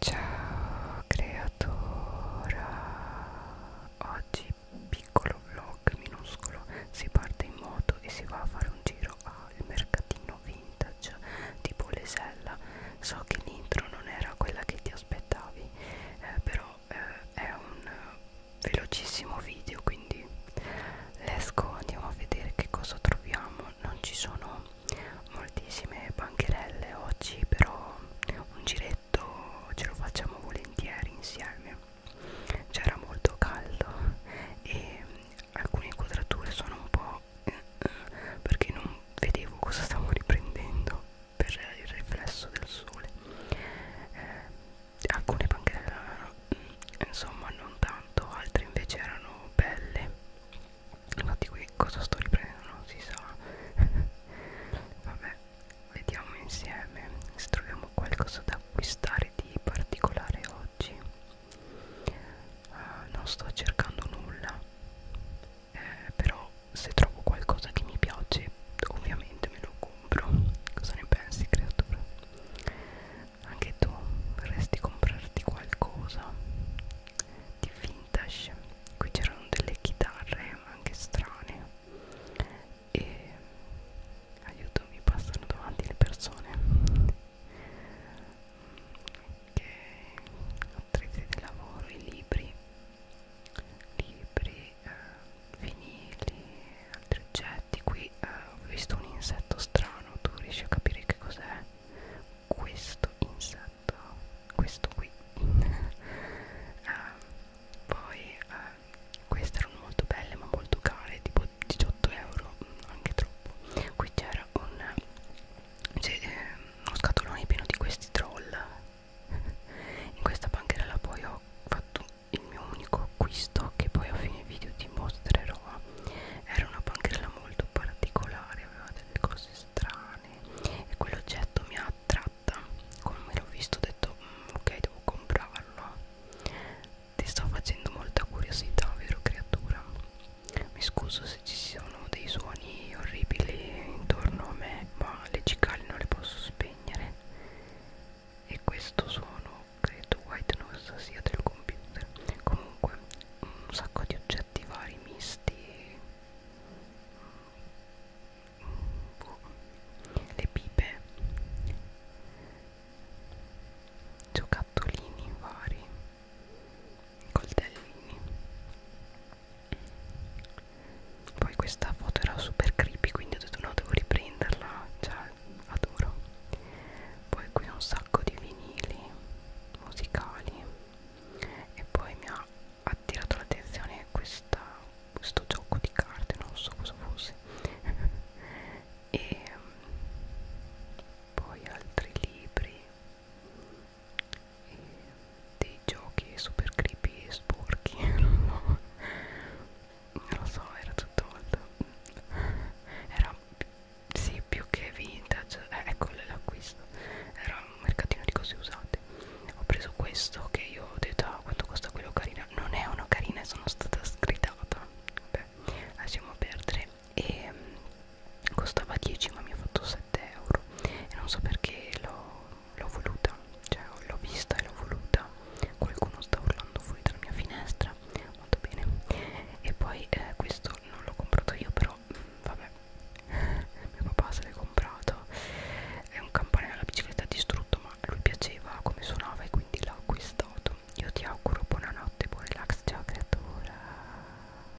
Ciao creatora! Oggi piccolo vlog minuscolo, si parte in moto e si va a fare un giro al mercatino vintage di Polesella. So che l'intro non era quella che ti aspettavi, eh, però eh, è un velocissimo video, quindi let's go, andiamo a vedere che cosa troviamo diciamo non ci sono moltissime bancherelle oggi però un giretto ce lo facciamo volentieri insieme c'era molto caldo e alcune inquadrature sono un po' perché non vedevo cosa stavo riprendendo per il riflesso del sole eh, alcune bancherelle insomma non tanto altre invece erano belle infatti qui cosa sto riprendendo non si sa vabbè vediamo insieme se troviamo qualcosa da acquistare di particolare oggi uh, non sto cercando nulla eh, però se trovo qualcosa che mi piace ovviamente me lo compro cosa ne pensi creatura anche tu vorresti comprarti qualcosa di vintage qui c'erano delle chitarre anche strane e aiuto mi passano davanti le persone ok attrezzi di lavoro i libri libri eh, vinili altri oggetti qui eh, ho visto un insetto strano tu riesci a capire che cos'è questo insetto questo qui eh, poi eh, queste erano molto belle ma molto care tipo 18 euro anche troppo qui c'era un cioè, eh, uno scatolone pieno di questi troll in questa banchera là poi ho fatto il mio unico acquisto che poi a fine video ti mostrerò era una bancherella molto particolare aveva delle cose strane e quell'oggetto mi ha attratta come l'ho visto ho detto mm, ok devo comprarlo ti sto facendo molta curiosità vero creatura mi scuso se ci sono dei suoni orribili intorno a me ma le cicale non le posso spegnere e questo suono credo white noise sia del computer comunque un sacco di oggetti vari misti boh. le pipe giocattolini vari coltellini poi questa foto era super creepy quindi ho detto no devo riprenderla cioè adoro poi qui un sacco di vinili musicali e poi mi ha attirato l'attenzione questa questo gioco di carte non so cosa fosse e mm, poi altri libri dei giochi super creepy e sporchi non lo so era tutto molto era sì più che vintage eh, ecco l'acquisto era un mercatino di cose usate ho preso questo che io ho detto ah, quanto costa quello carina non è una carina e sono stata sgridata vabbè lasciamo perdere e um, costava 10 ma mi ha fatto 7 euro e non so perché l'ho voluta, cioè l'ho vista e l'ho voluta, qualcuno sta urlando fuori dalla mia finestra, molto bene, e poi eh, questo non l'ho comprato io però, vabbè, mio papà se l'è comprato, è un campanello alla bicicletta distrutto ma lui piaceva come suonava e quindi l'ha acquistato, io ti auguro buonanotte, buon relax, ciao creatura